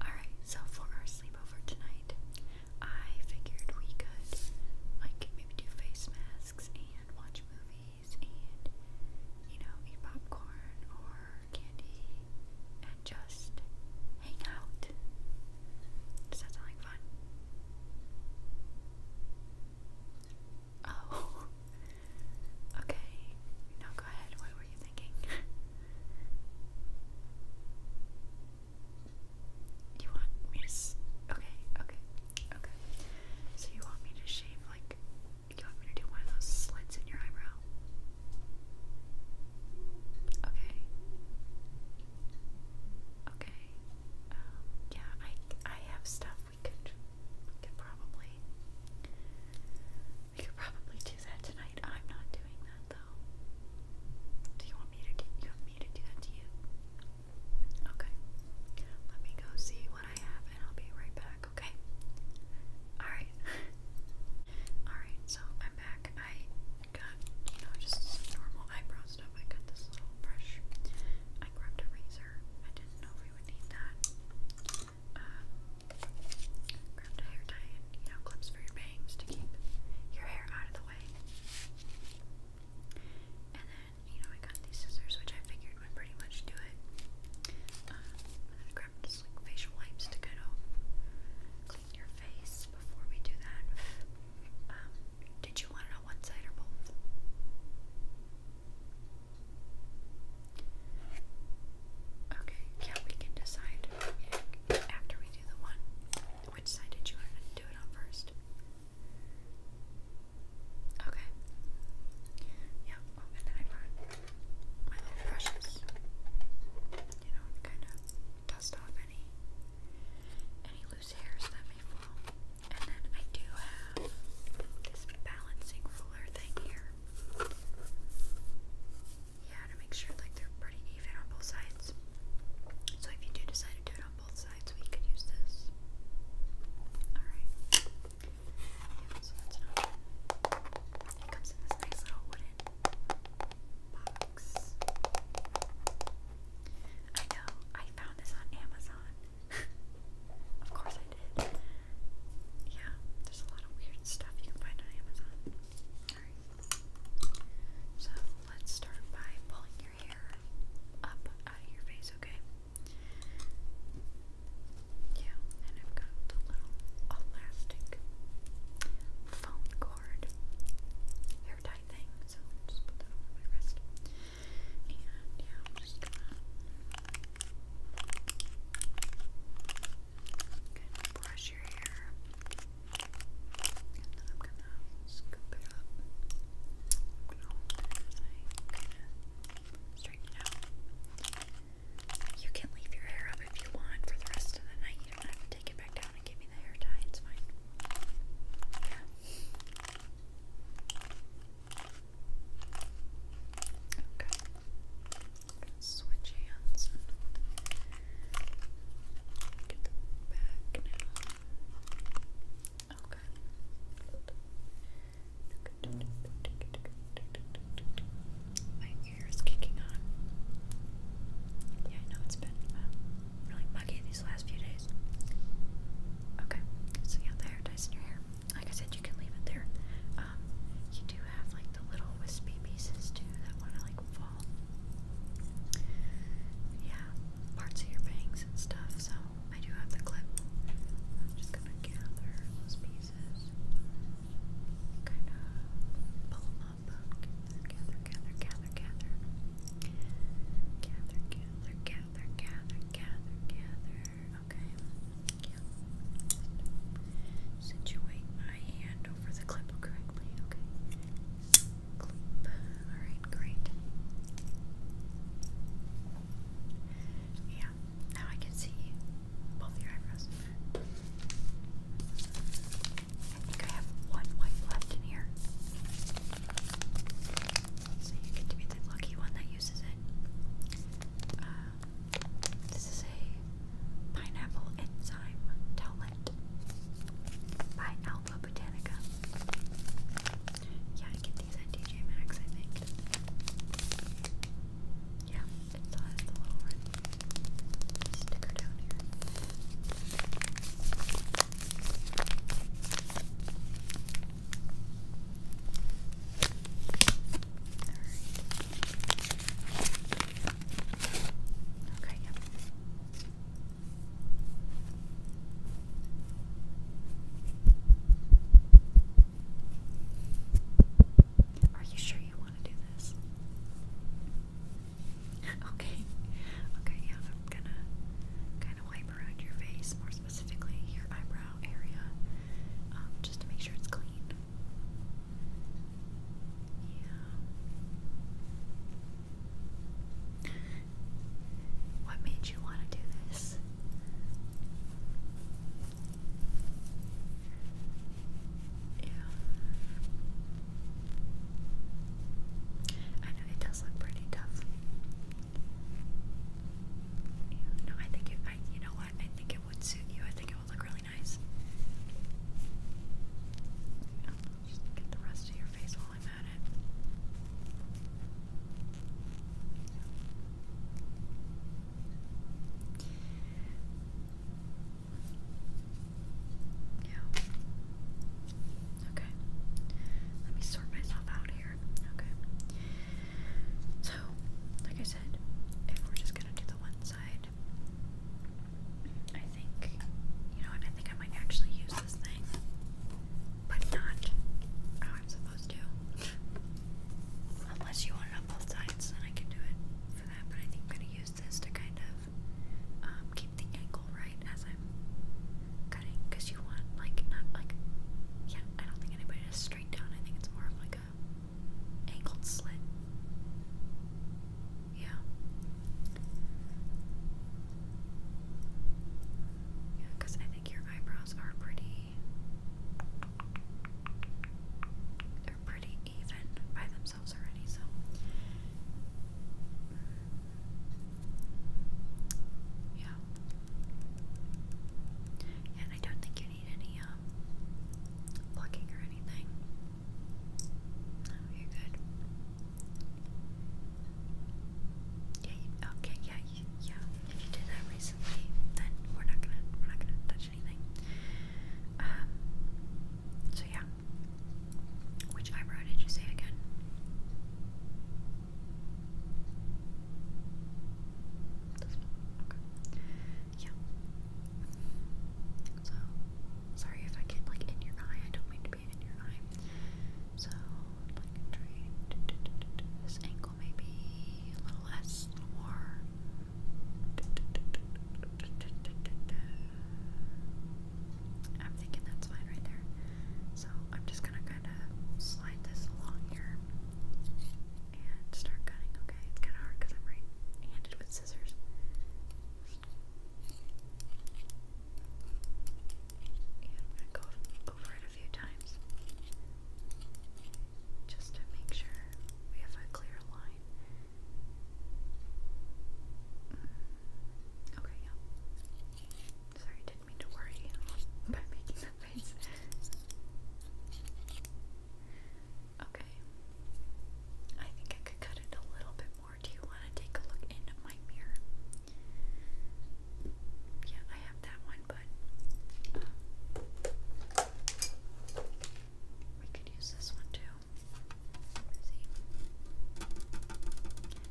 Alright, so for our sleepover tonight, I figured we could, like, maybe do face masks and watch movies and, you know, eat popcorn or candy and just hang out. Does that sound like fun? Oh, okay. Now go ahead. What were you thinking? You want me to okay, okay, okay. So you want me to shave like you want me to do one of those slits in your eyebrow? Okay. Okay. Um, yeah, I I have stuff we could we could probably we could probably do that tonight. I'm not doing that though. Do you want me to do you want me to do that to you? Okay. Let me go see what I have and I'll be right back, okay? Alright. Alright, so I'm back. I got, you know, just normal eyebrow stuff. I got this little brush. I grabbed a razor. I didn't know we would need that um, a hair tie and, you know, clips for your bangs to keep your hair out of the way. And then, you know, I got these scissors, which I figured would pretty much do it. and then I grabbed just facial wipes to kind of clean your face before we do that. Um, did you want it on one side or both? Okay, yeah, we can decide after we do the one. Which side did you want to do it on first? Okay. Yeah, and then I brought my brushes. You know, kind of dust off any any loose hairs that may fall. And then I do have this balancing ruler thing here yeah, to make sure like they're pretty even on both sides. So if you do decide to do it on both sides, we could use this. Alright. so that's an It comes in this nice little wooden box. I know, I found this on Amazon. of course I did yeah, there's a lot of weird stuff you can find on Amazon. Alright. So let's start by pulling your hair up out of your face, okay? Yeah, and I've got the little elastic phone cord hair tie thing, so I'll just put that on my wrist. And yeah, I'm just gonna gonna brush your hair, I'm gonna scoop it up. I'm gonna hold it as I kinda straighten it out. You can leave your hair up if you want for the rest of the night. You don't have to take it back down and give me the hair tie. It's fine. Okay switch hands and get the back now. Okay. My ear is kicking on. Yeah, I know it's been uh, really muggy these last few days. Okay, so yeah, the hair ties in your hair. Like I said, you can leave it there. Uh, um, you do have like the little wispy pieces too that want to like fall. Yeah, parts of your bangs and stuff. So I do have the clip. I'm just gonna gather those pieces, kind of pull up, gather, gather, gather, gather, gather, gather, gather, gather, gather, gather. Okay. Yeah. Situate my hand over the clip correctly, okay? Clip. Alright, great. Yeah, now I can see both your eyebrows. I think I have one white left in here. So you get to be the lucky one that uses it. Uh, this is a pineapple enzyme tablet by Alba Botanica. Yeah, I get these at DJ Maxx, I think. Yeah, it still has the little sticker down here. Alright. Are you sure you want to do this? okay. Okay, yeah, I'm gonna kind of wipe around your face, more specifically your eyebrow area, um, just to make sure it's clean. Yeah. What made you want to do this? Yeah. I know it does look pretty tough. Yeah, no, I think it. I, you know what? I think it would suit you. I think it will look really nice. I'll just get the rest of your face while I'm at it. Yeah. Okay. Let me sort myself out here. Okay. So, like I said, if we're just gonna do the one I think, you know what, I think I might actually use this thing, but not how I'm supposed to. Unless you want it on both sides, then I can do it for that, but I think I'm going to use this to kind of um, keep the angle right as I'm cutting, because you want, like, not like, yeah, I don't think anybody does straight down, I think it's more of like a angled slit. Yeah. Yeah, I think your eyebrows are pretty. They're pretty even by themselves already, so. Yeah. And I don't think you need any um, plucking or anything. No, oh, you're good. Yeah. okay. Yeah. yeah. If you did that recently, then we're not gonna we're not gonna touch anything. Um. So yeah. Which eyebrow did you say again? Yeah. So Sorry if I get like in your eye. I don't mean to be in your eye. So like this angle maybe a little less, a little more. I'm thinking that's fine right there. So I'm just gonna kind of slide this along here and start cutting. Okay, it's kind of hard because I'm right-handed with scissors. I'm going to go over it a few times just to make sure we have a clear line. Mm. Okay, yeah. Sorry, didn't mean to worry by making that face. Okay. I think I could cut it a little bit more. Do you want to take a look in my mirror? Yeah, I have that one, but um, we could use this one too.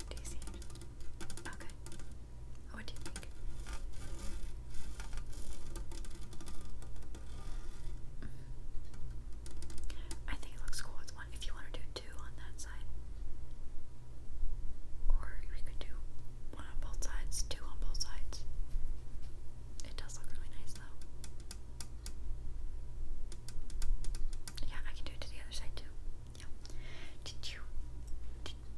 Do you see Okay. Oh, what do you think? I think it looks cool with one. If you want to do two on that side, or we could do one on both sides, two on both sides. It does look really nice though. Yeah, I can do it to the other side too. Did you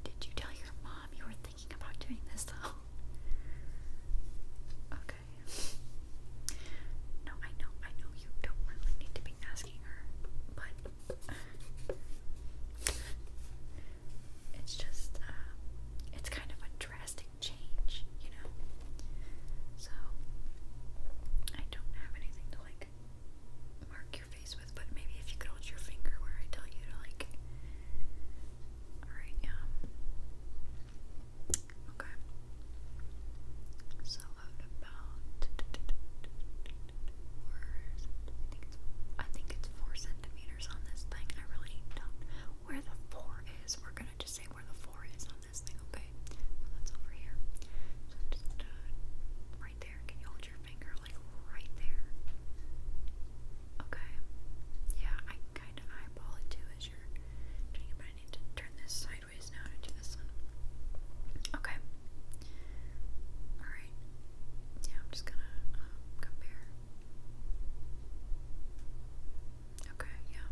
did you tell your mom you were thinking about doing this though? Okay okay? No, I know, I know you don't really need to be asking her, but it's just, uh, it's kind of a drastic change, you know? So, I don't have anything to like mark your face with, but maybe if you could hold your finger where I tell you to like. Alright, um. Okay. So about four I think it's four centimeters on this thing. I really don't where the four is. We're gonna just say where the four is on this thing, okay? that's over here. So just uh, right there. Can you hold your finger like right there? Okay. Yeah, I kinda eyeball it too as you're doing it, but I need to turn this side sideways now to do this one. Okay. Alright. Yeah, I'm just gonna um, compare. Okay, yeah.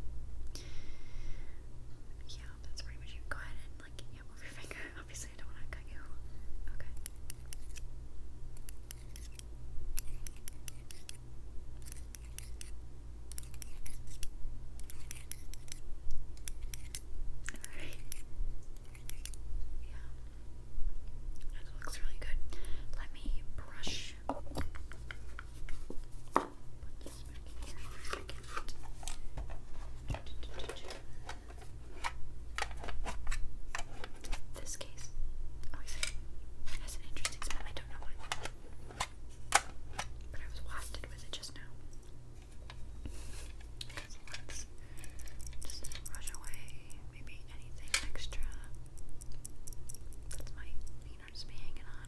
Yeah, that's pretty much it. Go ahead and, like, yeah, move your finger. Obviously, I don't want to cut you. Okay. Alright. Yeah. It looks really good. Let me brush. Put this back in here for a second. This case always oh, has an interesting smell. I don't know why. But I was wafted with it just now. just brush away maybe anything extra that might need hanging on.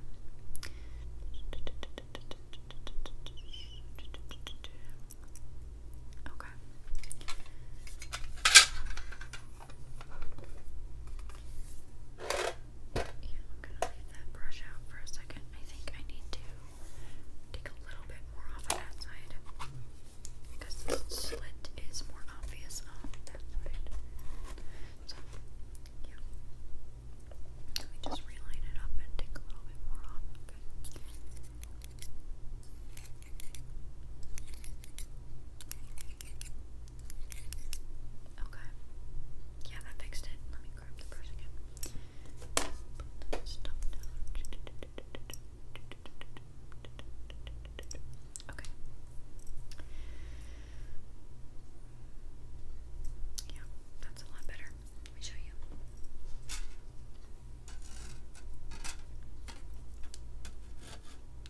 Okay. And I'm gonna leave that brush out for a second. I think I need to take a little bit more off of that side because the slit is more obvious on that side. So, yeah. Let me just reline it up and take a little bit more off. Okay. Okay. Okay. Yeah, that fixed it. Let me grab the brush again. Okay. Yeah, that's a lot better. Let me show you.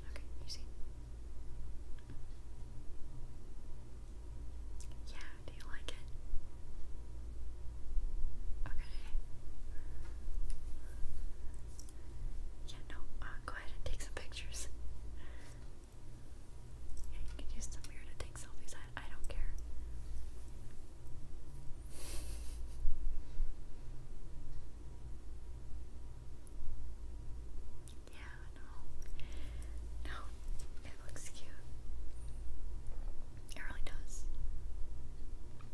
Okay, you see? Yeah, do you like it? Okay. Yeah, no, uh, go ahead and take some pictures. Yeah, you can use the mirror to take selfies. I don't care. Yeah, no. No, it looks cute. It really does.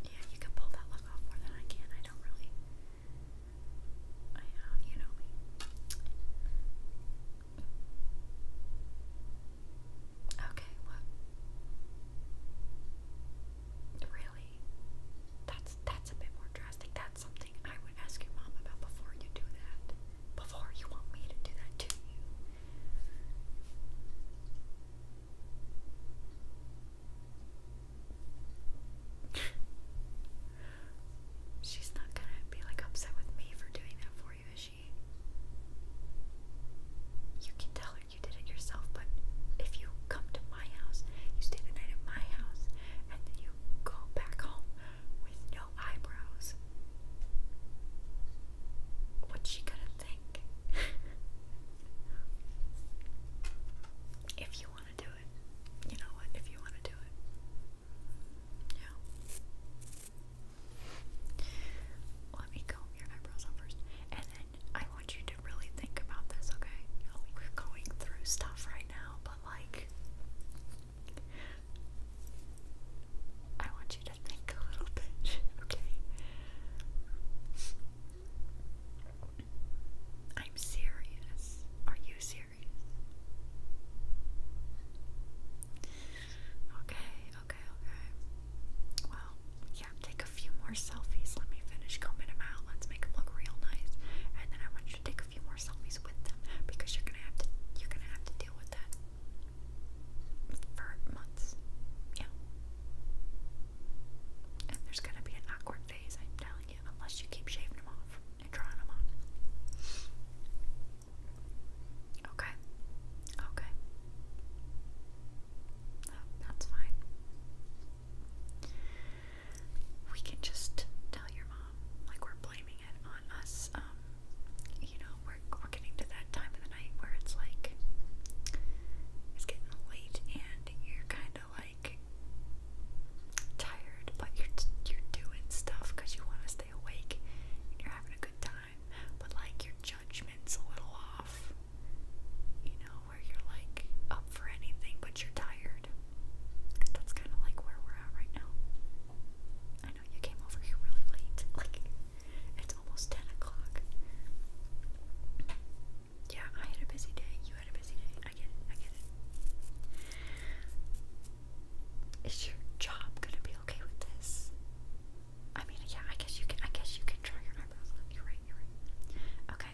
Yeah, you can pull that look off more than I can. I don't really. I know, uh, you know me. Okay, what? Really? That's that's a bit more drastic. That's something I would ask your mom about before you do that before you want me to do that to you. She's not gonna be like upset with me for doing that for you, is she? You can tell her you did it yourself, but if you come to my house, you stay the night at my house, and then you go back home, with no eyebrows. What's she gonna think? if you want to do it, you know what? If you want to do it, yeah. Let me comb your eyebrows first, and then I want you to really think about this, okay? we're going through stuff right now, but like, I want you to think a little bit, okay? I'm serious. Are you serious? Okay, okay, okay. Well, yeah, take a few more selfies. Let me finish combing them out. Let's make them look real nice. And then I want you to take a few more selfies with them because you're gonna have to you're gonna have to deal with that for months. Yeah. And there's gonna be an awkward phase, I'm telling you, unless you keep shaving them off and drawing them on. Okay. Okay. that's fine. We can just tell your mom like we're blaming on us. Um, you know, we're we're getting to that time of the night where it's like it's getting late and you're kind of like tired, but you're you're doing stuff because you want to stay awake and you're having a good time, but like your judgment's a little off. You know, where you're like up for anything, but you're tired. That's kind of like where we're at right now. I know you came over here really late. Like, it's almost 10 o'clock. Yeah, I had a busy day. You had a busy day. I get it. I get it. Is your job gonna be okay with this? I mean, yeah. I guess you can. I guess you can try your eyebrows. You're right. You're right. Okay.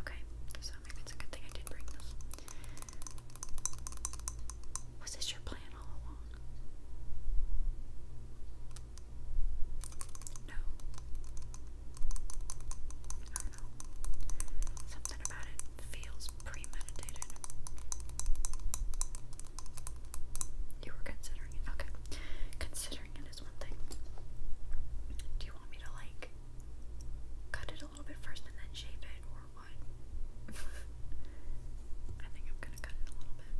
Okay. So maybe it's a good thing I did bring this. Was this your plan all along? No. I don't know. Something about it feels premeditated. You were considering it. Okay. Considering it is one thing. Do you want me to like cut it a little bit first and then shape it, I think I'm gonna cut it a little bit.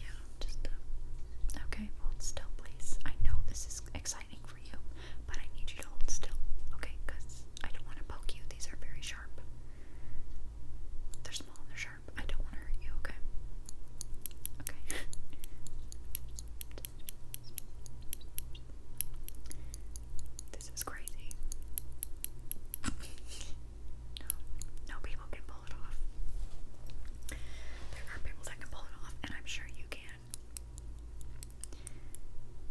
Yeah, just um, okay. Hold still, please. I know this is exciting for you, but I need you to hold still, okay? Because I don't want to poke you. These are very sharp. They're small and they're sharp. I don't want to hurt you, okay? Okay. This is crazy. no, no people can pull it off. There are people that can pull it off, and I'm sure you can.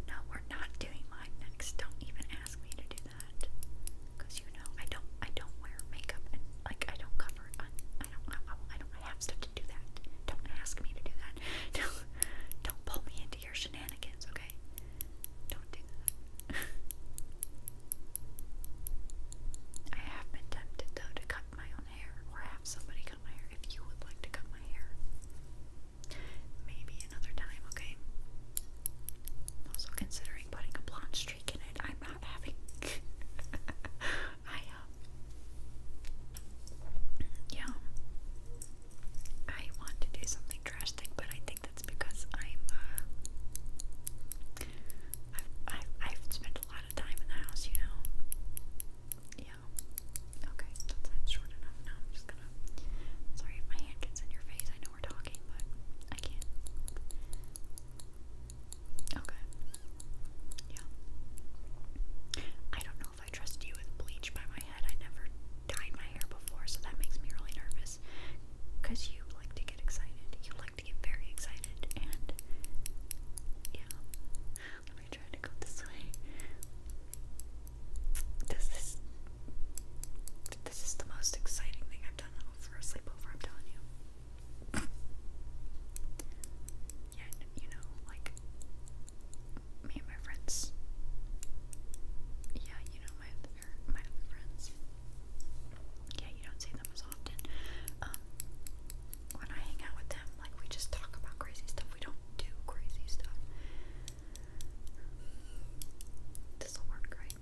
No, we're not doing mine next. Don't even ask me to do that. Cause you know I don't I don't wear makeup and like I don't cover I, don't I, don't have stuff to do that. Don't ask me to do that. do don't pull me into your shenanigans, okay? Don't do that. I have been tempted though to cut my own hair or have somebody cut my hair if you would like to cut my hair. Maybe another time, okay? also considering putting a blonde streak in it. I'm not having. I, um, Yeah. I want to do something drastic, but I think that's because I'm, uh, I've, I've, spent a lot of time in the house, you know? Yeah. Okay, that's, that's short enough now. I'm just gonna, sorry if my hand gets in your face. I know we're talking, but I can't. Okay. Yeah. I don't know if I trust you with bleach by my head. I never dyed my hair before, so that makes me really nervous. Cause you like to get excited. You like to get very excited, and yeah. Let me try to go this way. This this is the most exciting thing I've done for a sleepover. I'm telling you. yeah, you know, like me and my friends. Yeah, you know my er, my friends. Yeah, you don't see them as often. Um, when I hang out with them, like we just talk about crazy stuff. We don't do crazy stuff. This will work, right?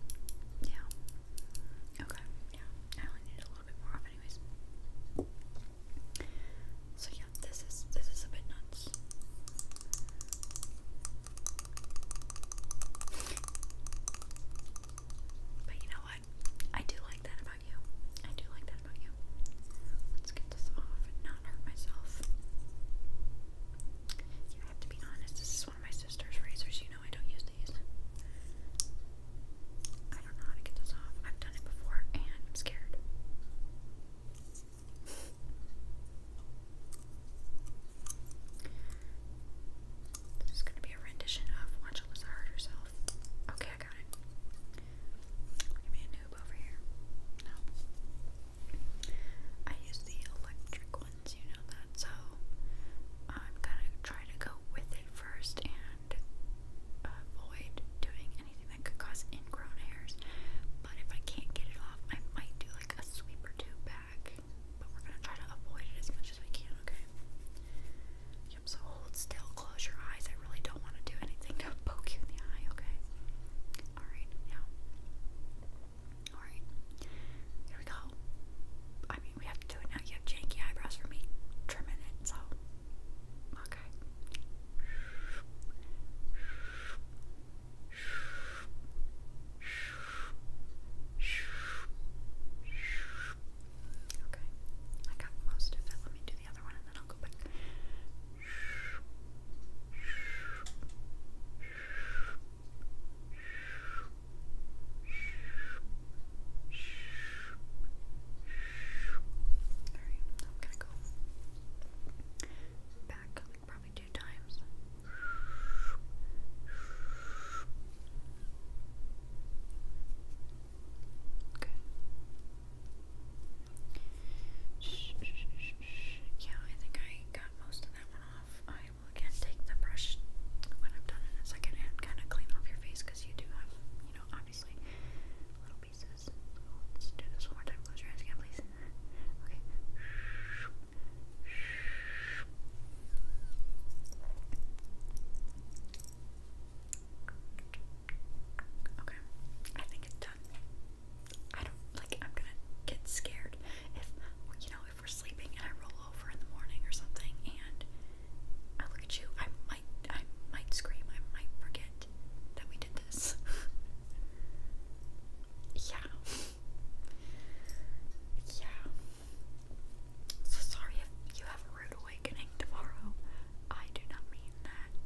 Yeah. Okay. Yeah. I only need a little bit more anyways. So yeah, this is this is a bit nuts. But you know what? I do like that about you. I do like that about you. Let's get this off and not hurt myself. Yeah, have to be honest, this is one of my sister's razors, you know I don't use these. I don't know how to get this off. I've done it before and I'm scared. This is going to be a rendition of Watch Alyssa Herself. Okay, I got it. Give me a noob over here. No. I use the electric ones, you know that, so I'm going to try to go with it first and avoid doing anything something could cause ingrown hairs. But if I can't get it off, I might do like a sweep or two back. But we're gonna try to avoid it as much as we can, okay? so hold still, close your eyes. I really don't want to do anything to poke you in the eye, okay? Alright, now. Alright. Here we go. I mean, we have to do it now. You have janky eyebrows for me. Trimming it, so. Okay. Okay, I got most of it. Let me do the other one and then I'll go back. Alright, i go back. Probably do few Okay. Yeah, I think I got most of that one off. I will again take the brush when I'm done in a second and kind of clean off your face because you do have, you know, obviously little pieces. let's do this one more time. Close your eyes again, please. Okay. Okay. I think it's done. I don't like I'm gonna get scared if you know if we're sleeping and I roll over in the morning or something and I look at you, I might I might scream, I might forget that we did this. Yeah. Yeah. So sorry if you have a rude awakening tomorrow. I do not mean that.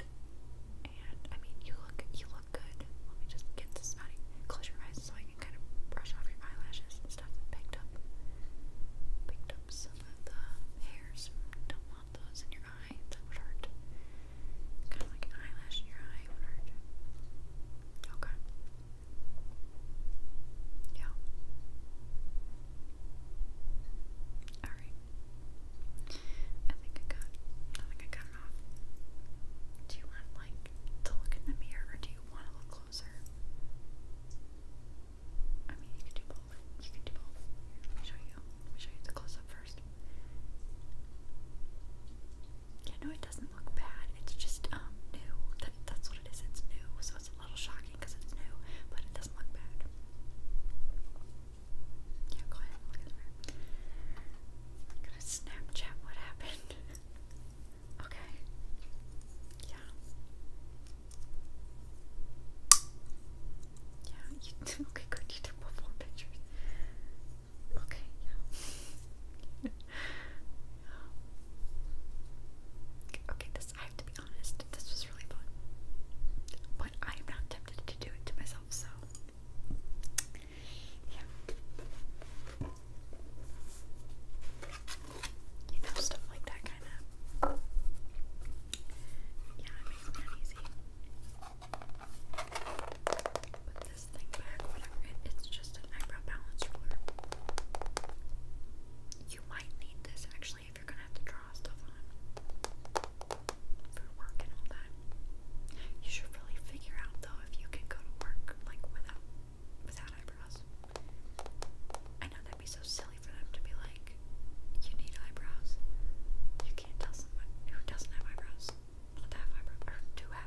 And I mean you look you look good. Let me just get this out close your eyes so I can kind of brush off your eyelashes and stuff that picked up. Picked up some of the hairs. Don't want those in your eye. That would hurt. Kind of like an eyelash in your eye Okay. Yeah. Alright. I think I got I think I got it off. Do you want like to look in the mirror or do you want to look closer? I mean you could do both. You could do both. Let me show you. Let me show you the close up first. Yeah, no, it doesn't look bad. It's just um new. that's what it is. It's new, so it's a little shocking it's new, but it doesn't look bad. Yeah, go ahead. Look at that. gonna Snapchat what happened. okay. Yeah. Yeah. okay. Good. You took before pictures. Okay, yeah. okay, this, I have to be honest, this was really fun. But I am not tempted to do it to myself, so. Yeah. You know, stuff like that kind of. Yeah, it makes me uneasy. But it's just an eyebrow balance ruler. You might need this actually if you're gonna have to draw stuff on for work and all that. You should really figure out though if you can go to work like without without eyebrows. I know that'd be so silly for them to be like, you need eyebrows. You can't tell someone who doesn't have eyebrows with half eyebrows, or two I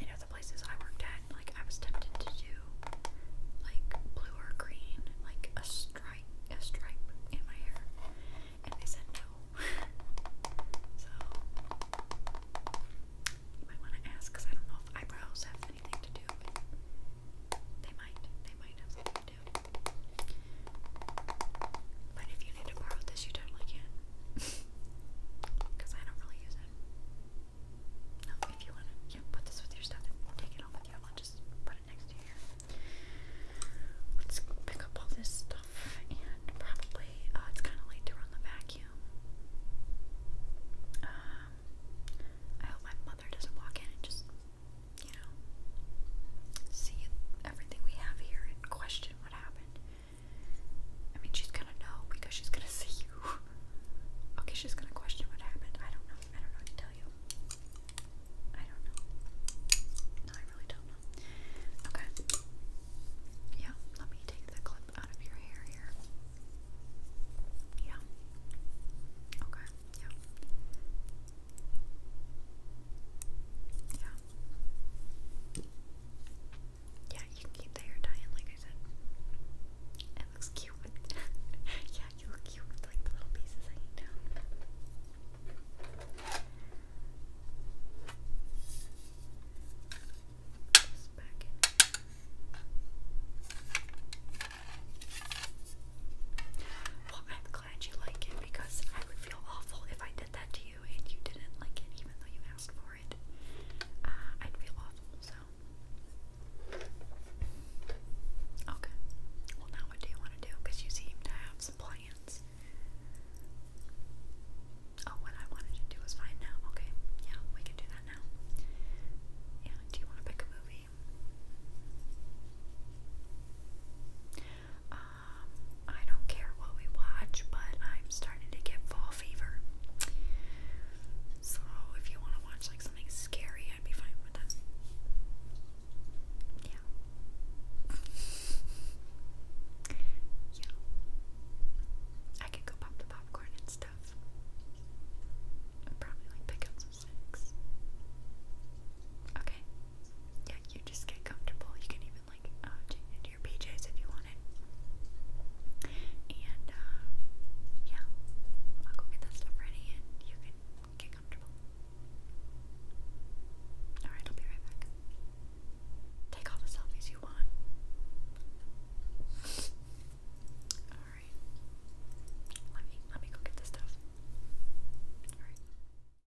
You know, the places I worked at, like, I was tempted to do, like, blue or green, like, a stripe, a stripe in my hair, and they said no. so, you might want to ask, because I don't know if eyebrows have anything to do They might, they might do. But if you need to borrow this, you totally can. Because I don't really use it. No, if you want to yeah, put this with your stuff take it home with you, I'll just put it next to here. Let's pick up all this stuff and probably, uh, it's kind of late to run the vacuum. Um, I hope my mother doesn't walk in and just you know, see everything we have here and question what happened. I mean, she's gonna know because she's gonna see you. okay, she's gonna question what happened. I don't know. I don't know what to tell you. I don't know. No, I really don't know. Okay. Yeah, let me take the clip out of your hair here. Yeah. Okay, yeah. Yeah. Yeah, you can keep the hair tie like I said. It looks cute yeah, you look cute like the little pieces hanging down. Just back in. Well, I'm glad you like it because I would feel awful if I did did that to you and you didn't like it even though you asked for it, uh, I'd feel awful, so. Okay. Well, now what do you want to do? Because you seem to have some plans. Oh, what I wanted to do was find now. Okay. Yeah, we can do that now. Yeah, do you want to pick a movie? Uh, um, I don't care what we watch, but I'm starting to get fall fever. So if you want to watch like something scary, I'd be fine with that. Yeah. yeah. I could go pop the popcorn and stuff. I'd probably like pick up some snacks. Okay. Yeah, you just get comfortable. You can even like change uh, into your PJs if you wanted. And uh, yeah, I'll go get that stuff ready and you can get comfortable. Alright, I'll be right back. Take all the selfies you want. Alright. Let me let me go get the stuff. Alright.